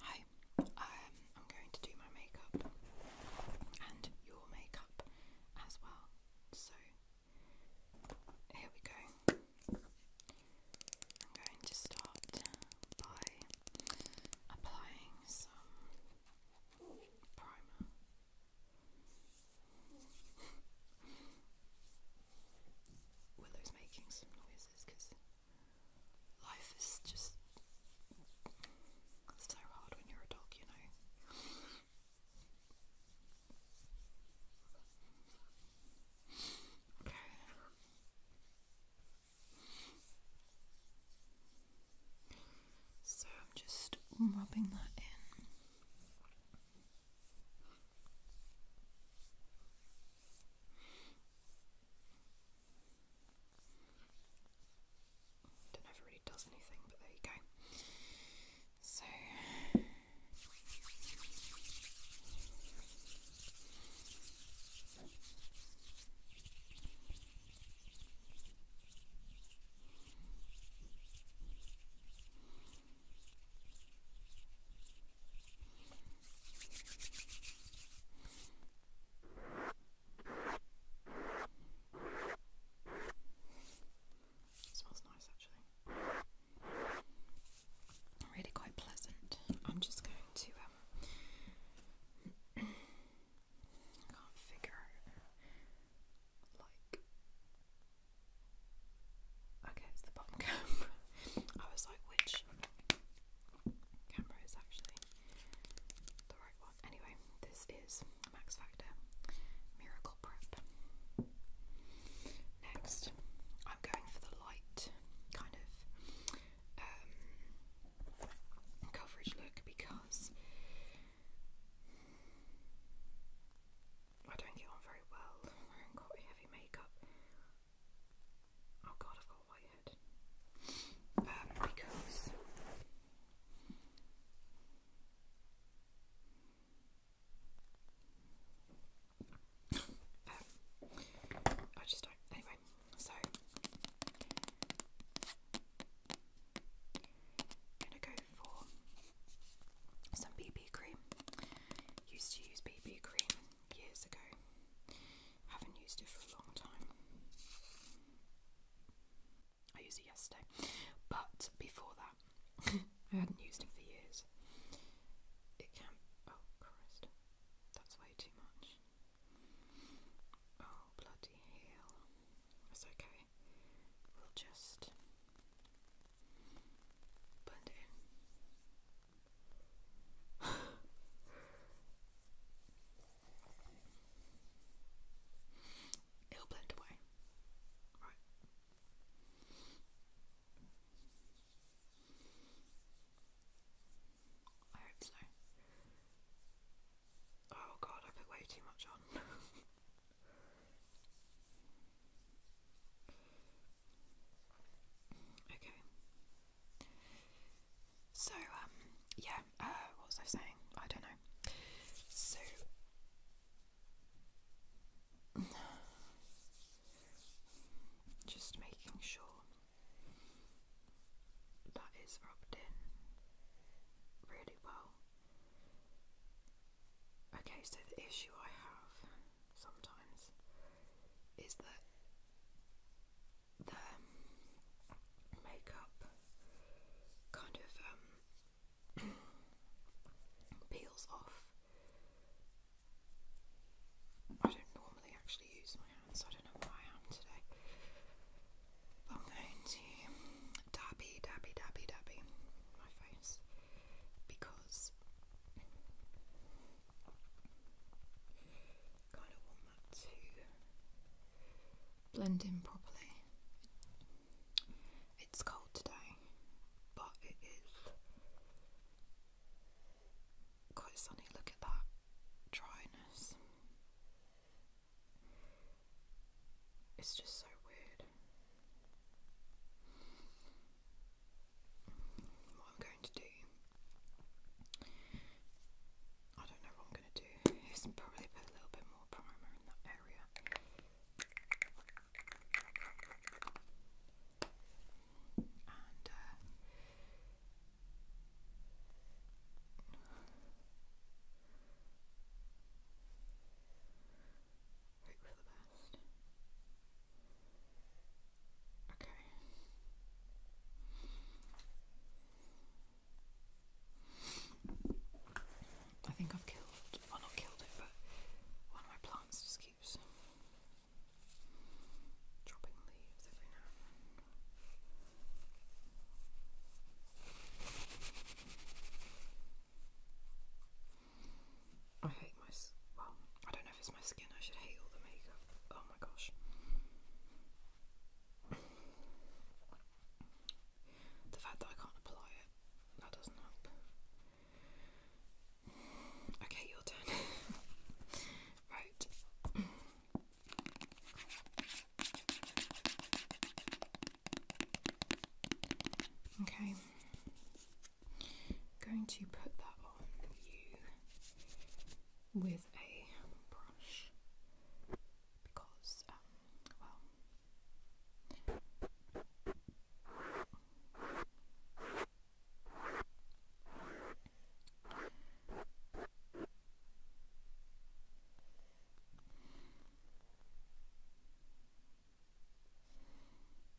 Hi, um, I'm going to do my makeup and your makeup as well. So here we go. I'm going to start by applying some primer. Willow's making some noises because Life is just so hard when you're a dog, you know. Okay. So I'm just rubbing that in. Don't know really does anything, but there you go. So smells nice actually. Really quite pleasant. I'm just going to um, can't figure like Okay, it's the bottom cap. I was like which camera is actually the right one. Anyway, this is Max Factor Miracle Prep. Next, I'm going for the light kind of um, coverage look because I don't get on very well wearing quite heavy makeup. Oh god, I've got a Um, because um, I just don't. Anyway, so gonna go for some BB cream. Used to use BB cream years ago. Haven't used it for a long time. I used it yesterday, but before that, I hadn't used it for years. It can. Oh Christ, that's way too much. Oh bloody hell! That's okay. We'll just blend in. It'll blend away. I hope so. Oh god, I put way too much on. okay. So, um, yeah, uh, what was I saying? I don't know. So, just making sure that is rubbed in really well. Okay, so the issue I have sometimes is that their makeup kind of um, peels off. I don't normally actually use my hands, I don't know why I am today. I'm going to dabby, dabby, dabby, dabby my face because Kind of want that to blend in properly. It's cold today, but it is quite sunny. Look at that dryness. It's just so weird what I'm going to do. I don't know what I'm going to do. It's probably put a little bit more primer in that area. And uh, Hope for the best. Okay. I think I've killed, well, not killed it, but one of my plants just keeps dropping leaves I hate my, well, I don't know if it's my skin, I should hate all the makeup oh, Oh my gosh. The fact that I can't apply it, that doesn't help. Okay, your turn. right. Okay. am going to put that on you with a brush because, um, well, I'm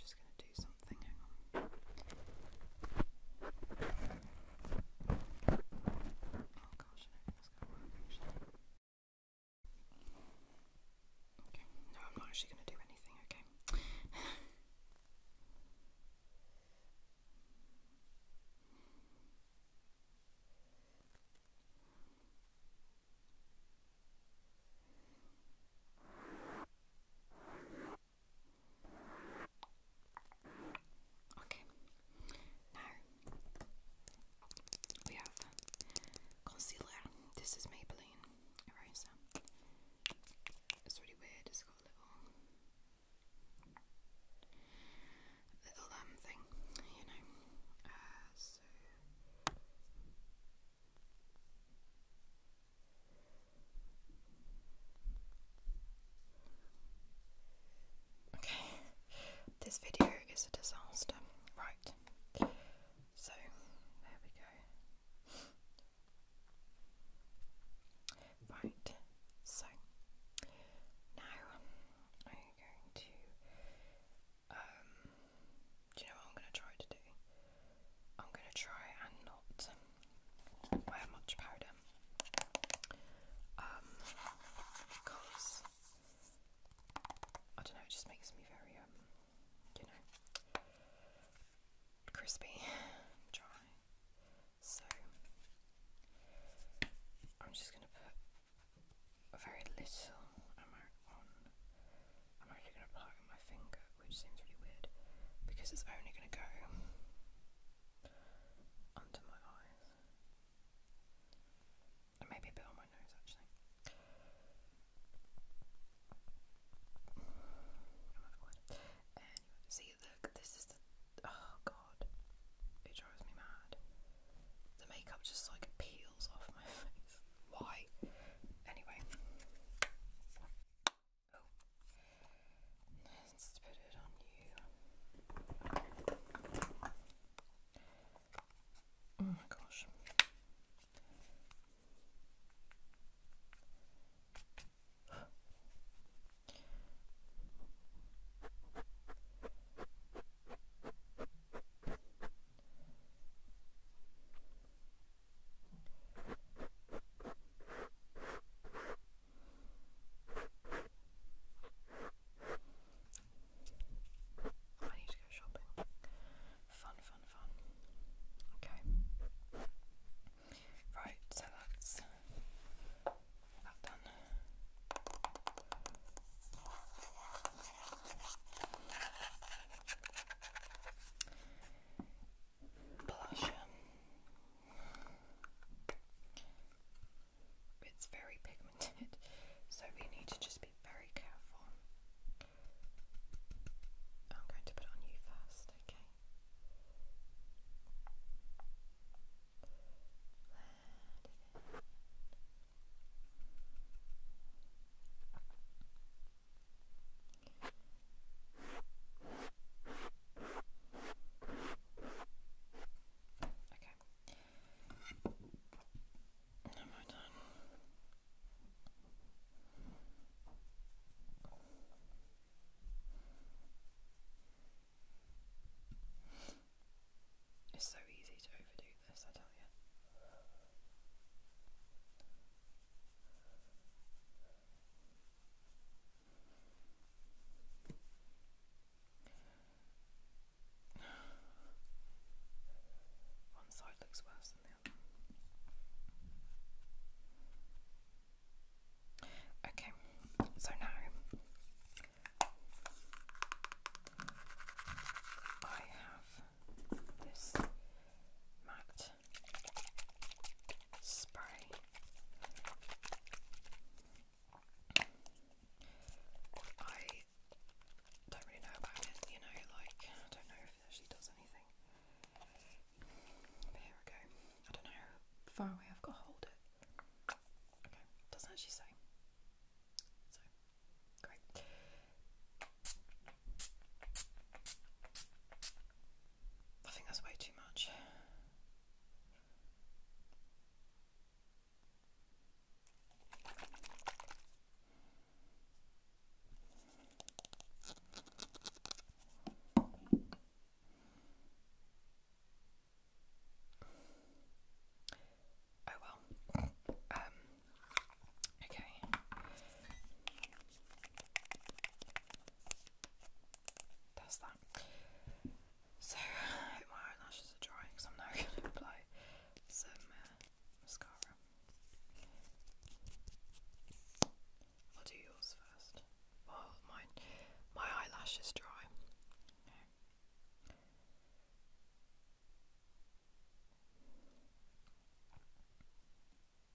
just going to do something, hang on. Oh I don't no, I'm not actually going to do anything, okay? Okay, now we have concealer. This is Maybelline eraser. It's really weird, little little um thing, you know. Uh, okay. This video is a disaster. Right. So there we go. Right, so now I'm going to. Um, do you know what I'm going to try to do? I'm going to try and not wear much powder. Um, because I don't know, it just makes me very, um, you know, crispy, dry. So I'm just going to put very little amount on. I'm actually going to apply it with my finger, which seems really weird because it's only going to go under my eyes. And maybe a bit on my nose actually. see, look, this is the oh god, it drives me mad. The makeup just like peels off my face. Why? Anyway. Oh. Let's put it on you. Oh my gosh. I need to go shopping. Fun, fun, fun. Okay. Right, so that's that done. Blush. Um, it's very pigmented, so we need to just be very careful. I'm going to put on you first, okay? Am I done? It's so easy to overdo this, I tell you. One side looks worse than the other. Okay, so now I have this matte spray. I don't really know about it, you know, like I don't know if she does anything. here we go. I don't know far away I've got to hold it. doesn't actually say. So, great. I think that's way too much. Oh well. Um okay. That's that. So my eyelashes are drying because I'm now gonna apply some uh, mascara. I'll do yours first well, oh, my, my eyelash is dry.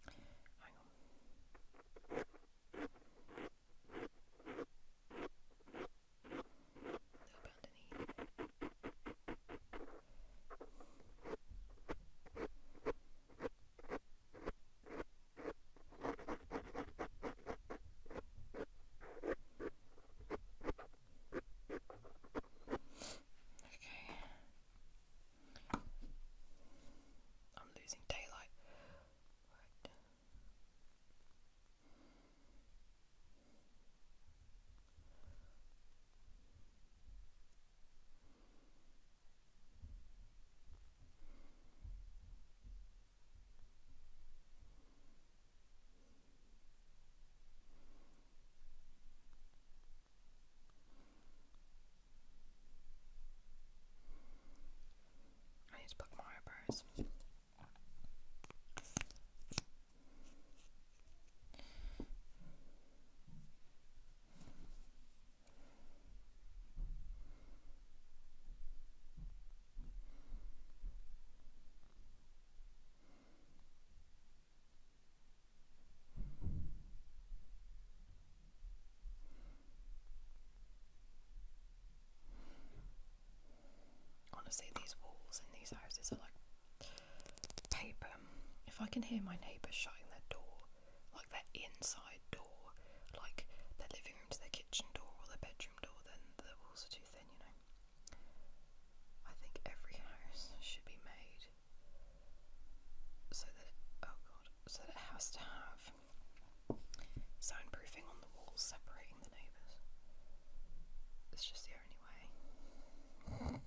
Hang on. Okay. I'm losing daylight. Right. I need to more eyebrows. Honestly, these walls in these houses are like paper. If I can hear my neighbour shutting their door, like their inside door, like their living room to their kitchen door or their bedroom door, then the walls are too thin, you know. I think every house should be made so that it, oh god, so that it has to have soundproofing on the walls separating the neighbours. It's just the only way.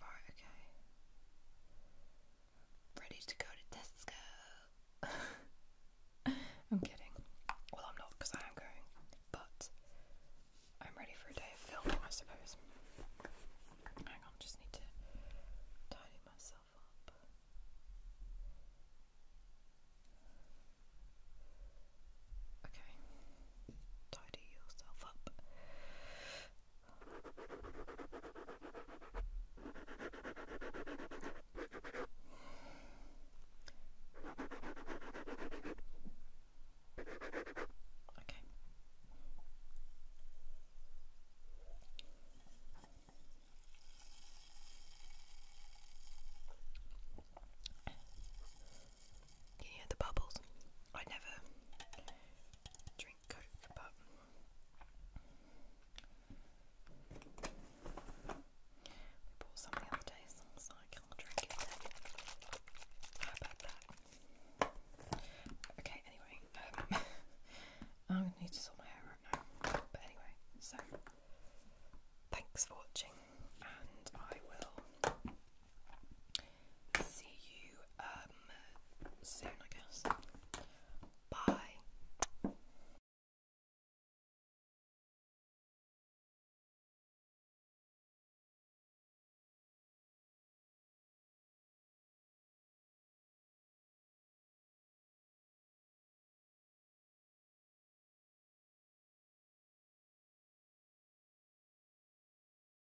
Right, okay. Ready to go to Tesco. I'm kidding. Well, I'm not because I am going, but I'm ready for a day of filming, I suppose. Hang just need to tidy myself up. Okay, tidy yourself up. Okay. Can you hear the bubbles? I never drink but we bought some the other day, so I can't drink it. How about that? Okay, anyway, um, I'm gonna need to sort my hair out now. But anyway, so thanks for watching, and I will see you um, soon I guess. Bye.